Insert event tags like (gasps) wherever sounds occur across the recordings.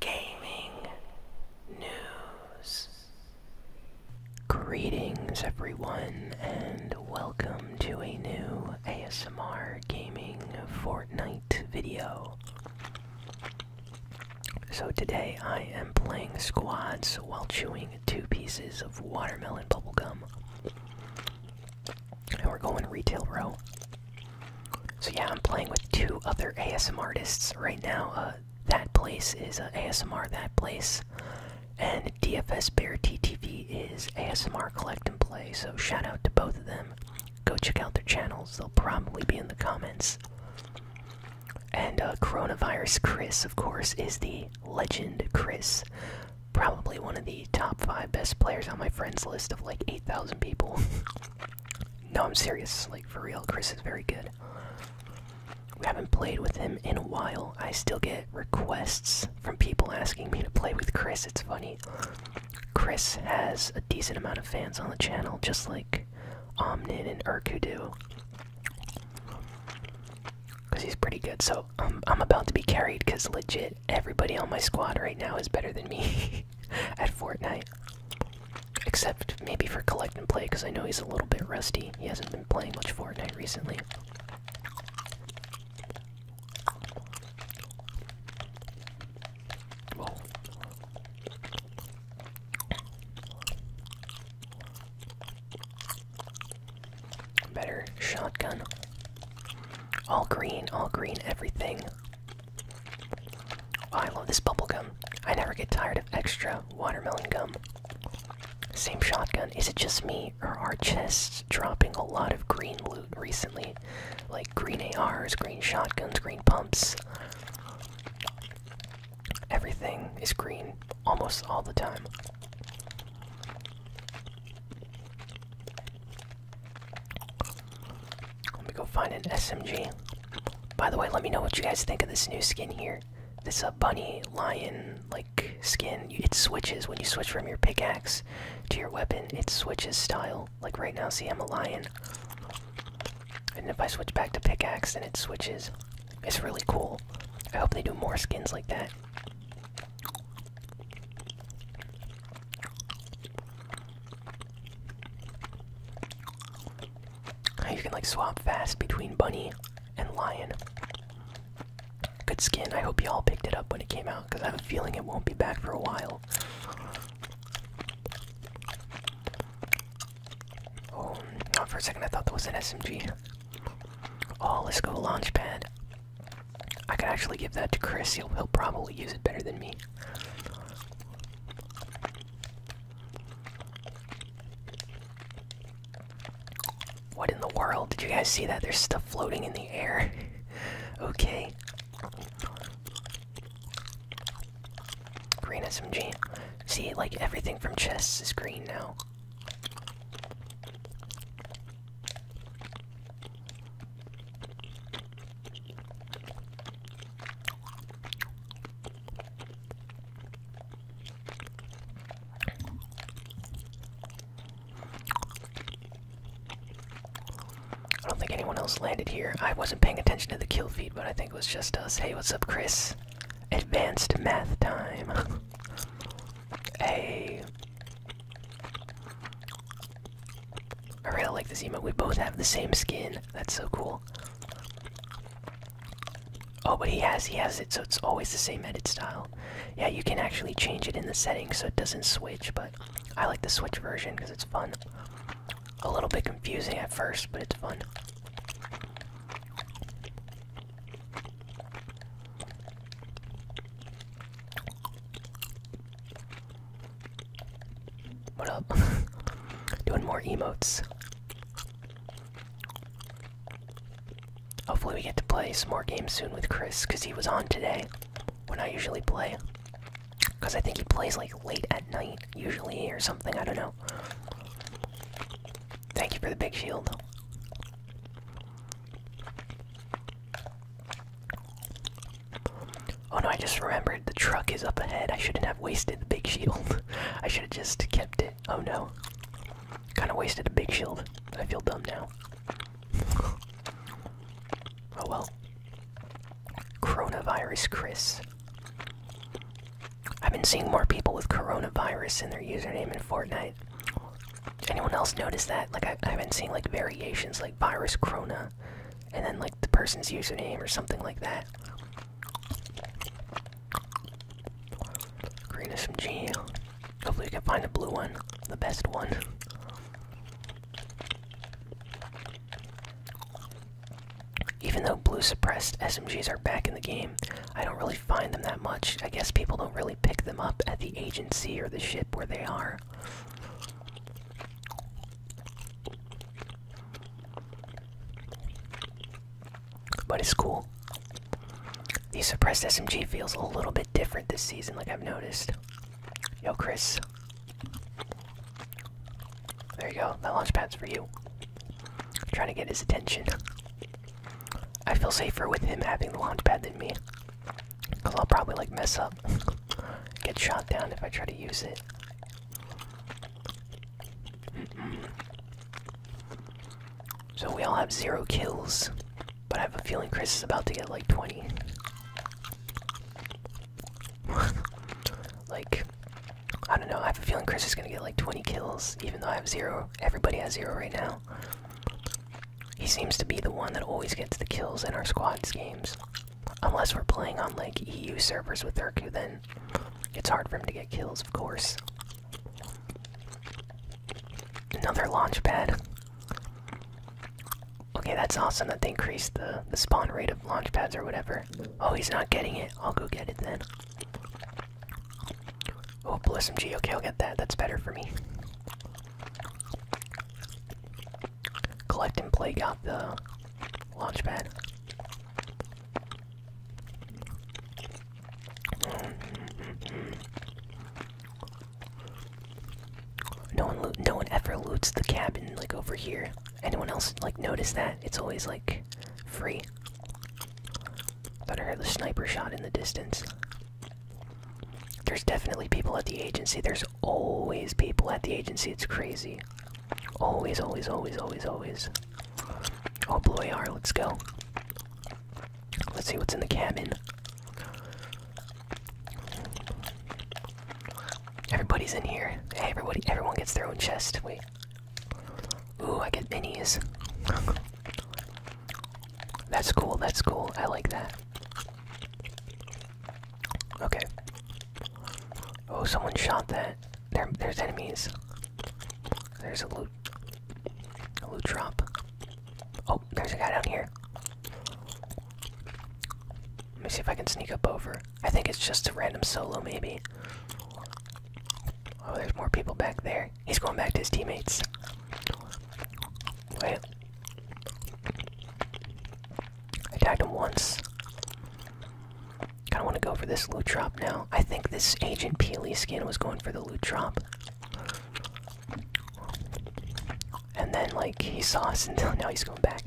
gaming news. Greetings, everyone, and welcome to a new ASMR gaming Fortnite video. So, today I am playing squads while chewing two pieces of watermelon bubblegum. And we're going retail row. So yeah, I'm playing with two other ASM artists right now. Uh, that place is ASMR. That place and DFS Bear TTV is ASMR Collect and Play. So shout out to both of them. Go check out their channels. They'll probably be in the comments. And uh, Coronavirus Chris, of course, is the legend Chris. Probably one of the top five best players on my friends list of like 8,000 people. (laughs) No, I'm serious. Like, for real, Chris is very good. We haven't played with him in a while. I still get requests from people asking me to play with Chris. It's funny. Chris has a decent amount of fans on the channel, just like Omnin and Urku do. Because he's pretty good. So, um, I'm about to be carried because legit everybody on my squad right now is better than me. (laughs) at Fortnite. Except maybe for collect and play, because I know he's a little bit rusty. He hasn't been playing much Fortnite recently. Better shotgun. All green, all green, everything. Oh, I love this bubble gum. I never get tired of extra watermelon gum. Same shotgun. Is it just me, or are chests dropping a lot of green loot recently? Like green ARs, green shotguns, green pumps. Everything is green almost all the time. Let me go find an SMG. By the way, let me know what you guys think of this new skin here. This uh, bunny lion like skin. It switches when you switch from your pickaxe to your weapon. It switches style. Like right now, see, I'm a lion. And if I switch back to pickaxe, then it switches. It's really cool. I hope they do more skins like that. You can like swap fast between bunny and lion. Good skin. I hope you all picked it up when it came out because I have a feeling it won't be back for a while. Oh, not for a second I thought that was an SMG. Oh, let's go launch pad. I could actually give that to Chris. He'll, he'll probably use it better than me. What in the world? Did you guys see that? There's stuff floating in the air. (laughs) okay. Green SMG. See, like everything from chess is green now. I don't think anyone else landed here. I wasn't paying attention to the kill feed, but I think it was just us. Hey, what's up, Chris? Advanced math time. (laughs) hey. I really like this emote. We both have the same skin. That's so cool. Oh, but he has he has it, so it's always the same edit style. Yeah, you can actually change it in the settings so it doesn't switch, but I like the switch version because it's fun. A little bit confusing at first, but it's fun. What up? (laughs) Doing more emotes. Hopefully, we get to play some more games soon with Chris because he was on today when I usually play. Because I think he plays like late at night, usually, or something. I don't know. Thank you for the big shield. Oh no, I just remembered the truck is up ahead. I shouldn't have wasted the big shield. (laughs) I should have just kept it. Oh no. Kind of wasted the big shield. I feel dumb now. (laughs) oh well. Coronavirus Chris. I've been seeing more people with coronavirus in their username in Fortnite. Anyone else notice that? Like, I, have been seeing like variations like virus Corona, and then like the person's username or something like that. Green SMG. Hopefully, we can find a blue one, the best one. Even though blue suppressed SMGs are back in the game, I don't really find them that much. I guess people don't really pick them up at the agency or the ship where they are. But it's cool. The suppressed SMG feels a little bit different this season, like I've noticed. Yo, Chris. There you go. That launch pad's for you. trying to get his attention. I feel safer with him having the launch pad than me. Because I'll probably, like, mess up. (laughs) get shot down if I try to use it. So we all have zero kills, but I have a feeling Chris is about to get like 20. (laughs) like, I don't know, I have a feeling Chris is gonna get like 20 kills, even though I have zero. Everybody has zero right now. He seems to be the one that always gets the kills in our squads games. Unless we're playing on like EU servers with Urku, then it's hard for him to get kills, of course. Another launch pad. Okay, that's awesome that they increased the, the spawn rate of launch pads or whatever. Oh, he's not getting it. I'll go get it then. Oh, Bliss MG. Okay, I'll get that. That's better for me. Collect and play got the launch pad. No one, no one ever loots the cabin like over here. Anyone else like notice that? It's always like free. Thought I heard the sniper shot in the distance. There's definitely people at the agency. There's always people at the agency. It's crazy. Always, always, always, always, always. Oh, blue are Let's go. Let's see what's in the cabin. Everybody's in here. Hey, everybody, everyone gets their own chest. Wait. Ooh, I get minis. (laughs) That's cool, that's cool. I like that. Okay. Oh, someone shot that. There, there's enemies. There's a loot, a loot drop. Oh, there's a guy down here. Let me see if I can sneak up over. I think it's just a random solo, maybe. Oh, there's more people back there. He's going back to his teammates. Wait. I tagged him once. Kinda wanna go for this loot drop now. I think this Agent Peely skin was going for the loot drop. And then like he saw us and (laughs) now he's going back.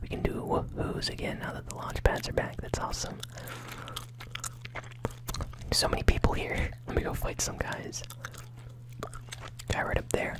We can do whoos again now that the launch pads are back. That's awesome. So many people here. Let me go fight some guys. Guy right up there.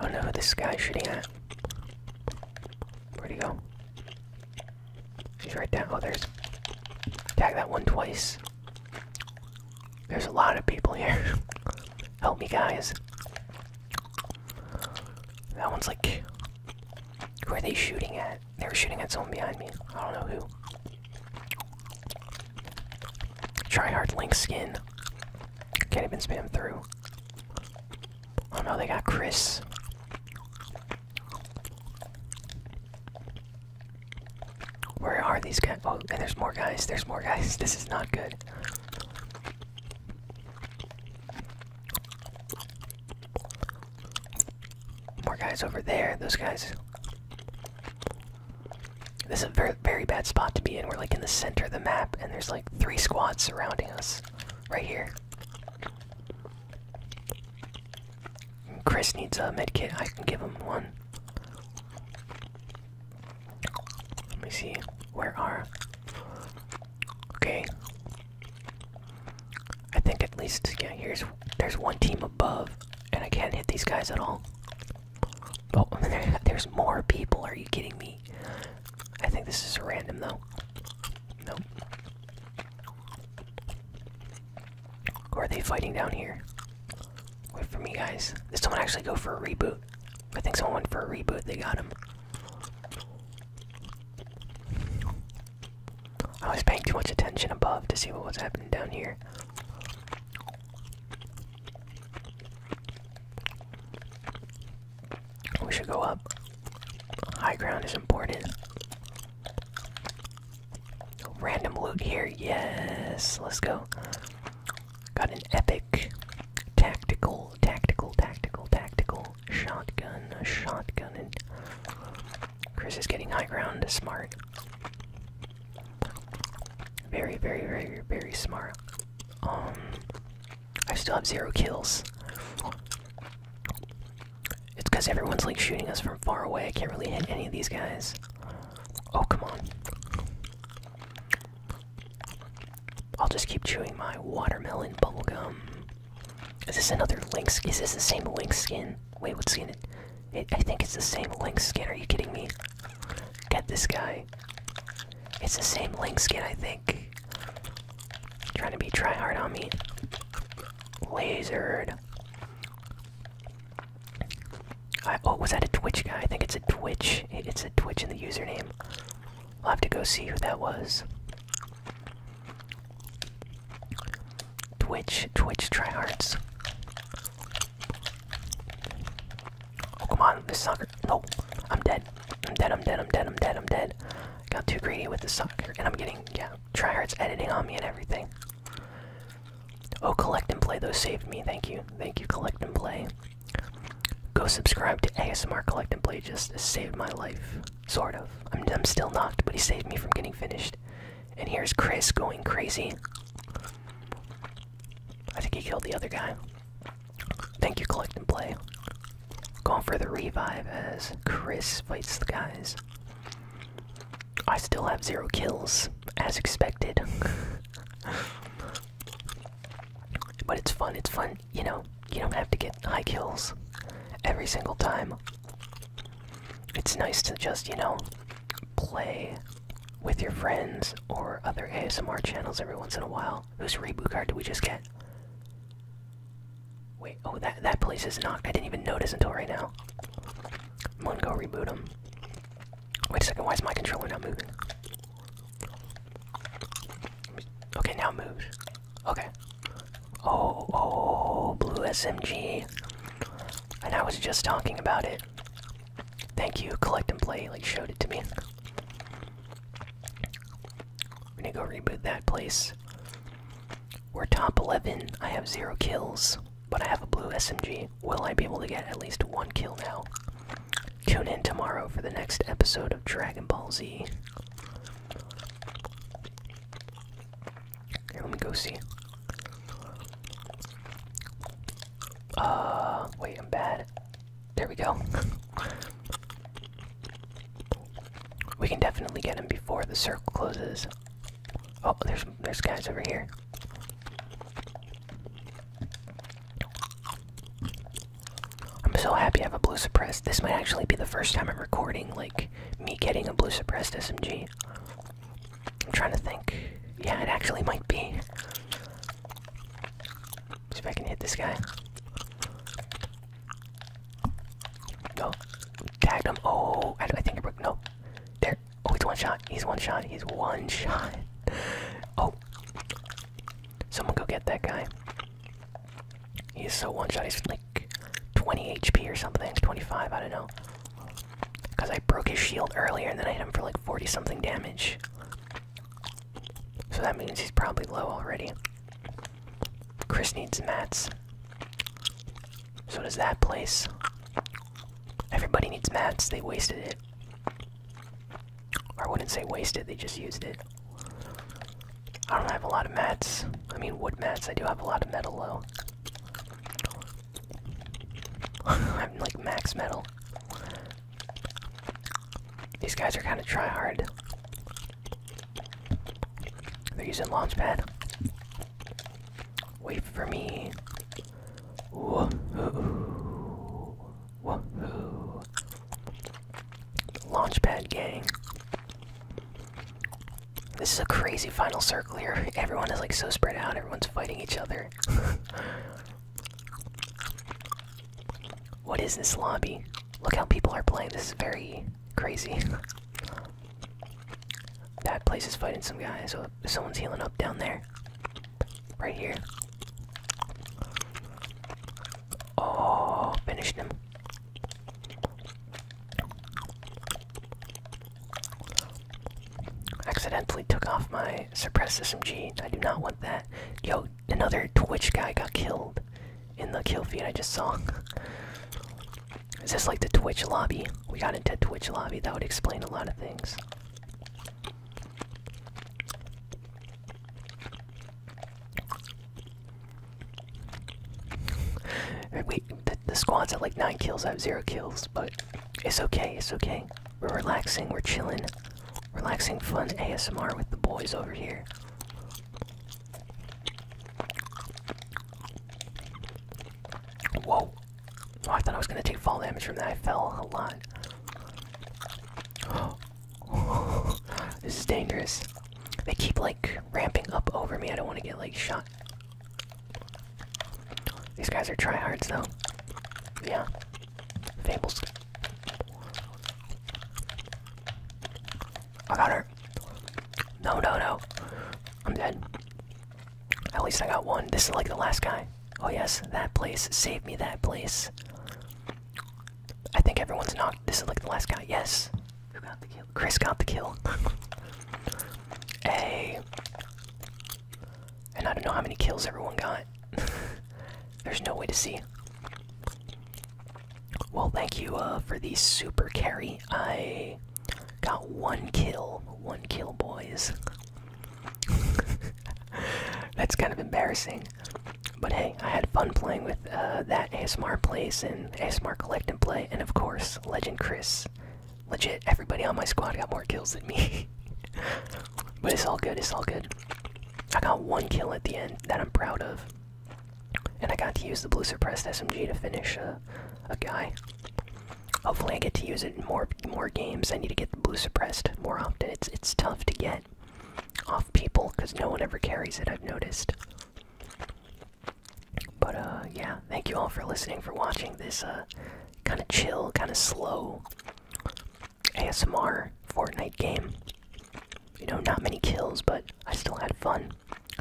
Oh no, this guy's shooting at. Where'd he go? She's right down. Oh, there's. Tag that one twice. There's a lot of people here. (laughs) Help me, guys. That one's like. Who are they shooting at? They are shooting at someone behind me. I don't know who. Try hard link skin. Can't even spam through. Oh no, they got Chris. Where are these guys? Oh, and there's more guys. There's more guys. (laughs) This is not good. More guys over there. Those guys. This is a very, very bad spot to be in. We're like in the center of the map, and there's like three squads surrounding us right here. Chris needs a med kit. I can give him one. Let me see. Where are. Okay. I think at least, yeah, here's. There's one team above, and I can't hit these guys at all. Oh, (laughs) there's more people. Are you kidding me? I think this is random though. No. Or are they fighting down here? Wait for me, guys. Did someone actually go for a reboot? I think someone went for a reboot. They got him. I was paying too much attention above to see what was happening down here. We should go up. High ground is important. Random loot here, yes, let's go. Got an epic tactical, tactical, tactical, tactical shotgun, a shotgun, and Chris is getting high ground. Smart. Very, very, very, very smart. Um, I still have zero kills. It's because everyone's like shooting us from far away. I can't really hit any of these guys. Oh, come on. I'll just keep chewing my watermelon bubble gum. Is this another lynx? Is this the same lynx skin? Wait, what it? I think it's the same link skin. Are you kidding me? Get this guy. It's the same link skin, I think. Trying to be try hard on me. Lasered. oh, was that a Twitch guy? I think it's a Twitch. it's a Twitch in the username. I'll have to go see who that was. Twitch, Twitch tryhards. Oh come on, this sucker! No, I'm dead. I'm dead. I'm dead. I'm dead. I'm dead. I'm dead. Got too greedy with the sucker, and I'm getting yeah tryhards editing on me and everything. Oh, collect and play. Those saved me. Thank you. Thank you, collect and play. Go subscribe to ASMR Collect and Play. Just saved my life, sort of. I'm still knocked, but he saved me from getting finished. And here's Chris going crazy. I think he killed the other guy. Thank you, collect and play. Going for the revive as Chris fights the guys. I still have zero kills, as expected. (laughs) but it's fun, it's fun. You know, you don't have to get high kills every single time. It's nice to just, you know, play with your friends or other ASMR channels every once in a while. Whose reboot card did we just get? Wait, oh, that, that place is knocked. I didn't even notice until right now. I'm gonna reboot him. Wait a second, why is my controller not moving? Okay, now it moves. Okay. Oh, oh, blue SMG and I was just talking about it. Thank you, collect and play. Like showed it to me. I'm gonna go reboot that place. We're top 11. I have zero kills, but I have a blue SMG. Will I be able to get at least one kill now? Tune in tomorrow for the next episode of Dragon Ball Z let me go see. Uh, wait, I'm bad. There we go. we can definitely get him before the circle closes. Oh, there's there's guys over here. I'm so happy I have a blue suppressed. This might actually be the first time I'm recording like me getting a blue suppressed SMG. I'm trying to think. Yeah, it actually might be. See if I can hit this guy. No. tag him. Oh, I, I think I broke. No. There. Oh, he's one shot. He's one shot. He's one (laughs) shot. Oh. Someone go get that guy. He's so one shot. He's like 20 HP or something. 25. I don't know. Because I broke his shield earlier and then I hit him for like 40 something damage. So that means he's probably low already. Chris needs mats. So does that place. Everybody needs mats, they wasted it. I wouldn't say wasted, they just used it. I don't have a lot of mats. I mean, wood mats, I do have a lot of metal though. (laughs) I'm like max metal. These guys are kind of try hard. They're using launchpad. Wait for me. Woohoo! Woohoo! Launchpad gang. This is a crazy final circle here. Everyone is like so spread out, everyone's fighting each other. (laughs) what is this lobby? Look how people are playing. This is very crazy. (laughs) that place is fighting some guys. So someone's healing up down there. Right here. Oh, finished him. Accidentally took off my suppressed SMG. I do not want that. Yo, another Twitch guy got killed in the kill feed I just saw. Is this like the Twitch lobby? We got into Twitch lobby. That would explain a lot of things. We the, squad's at like nine kills. I have zero kills, but it's okay. It's okay. We're relaxing. We're chilling. Relaxing, fun ASMR with the boys over here. Whoa! Oh, I thought I was gonna take fall damage from that. I fell a lot. (gasps) this is dangerous. They keep like ramping up over me. I don't want to get like shot these guys are tryhards, though. Yeah. Fables. I got her. No, no, no. I'm dead. At least I got one. This is like the last guy. Oh, yes, that place. Save me that place. I think everyone's knocked. This is like the last guy. Yes. Chris got the kill. (laughs) A, And I don't know how many kills everyone got. (laughs) There's no way to see. Well, thank you uh, for the super carry. I got one kill. One kill, boys. (laughs) That's kind of embarrassing. But hey, I had fun playing with uh, that ASMR place and ASMR Collect and Play, and of course, Legend Chris. Legit, everybody on my squad got more kills than me. (laughs) but it's all good, it's all good. I got one kill at the end that I'm proud of. And I got to use the blue suppressed SMG to finish uh, a guy. Hopefully I get to use it in more more games. I need to get the blue suppressed more often. It's it's tough to get off people because no one ever carries it, I've noticed. But uh, yeah, thank you all for listening, for watching this uh, kind of chill, kind of slow ASMR Fortnite game. You know, not many kills, but I still had fun.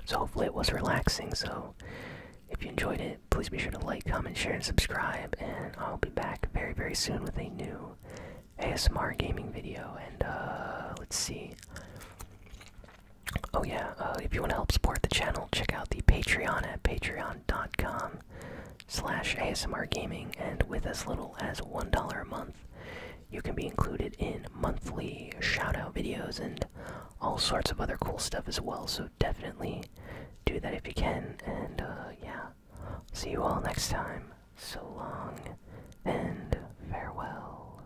So hopefully it was relaxing. So if you enjoyed it, please be sure to like, comment, share, and subscribe. And I'll be back very, very soon with a new ASMR gaming video. And uh, let's see. Oh yeah, uh, if you want to help support the channel, check out the Patreon at patreon.com slash ASMR Gaming, and with as little as $1 a month, you can be included in monthly shout-out videos and all sorts of other cool stuff as well, so definitely do that if you can, and uh, yeah, see you all next time. So long, and farewell.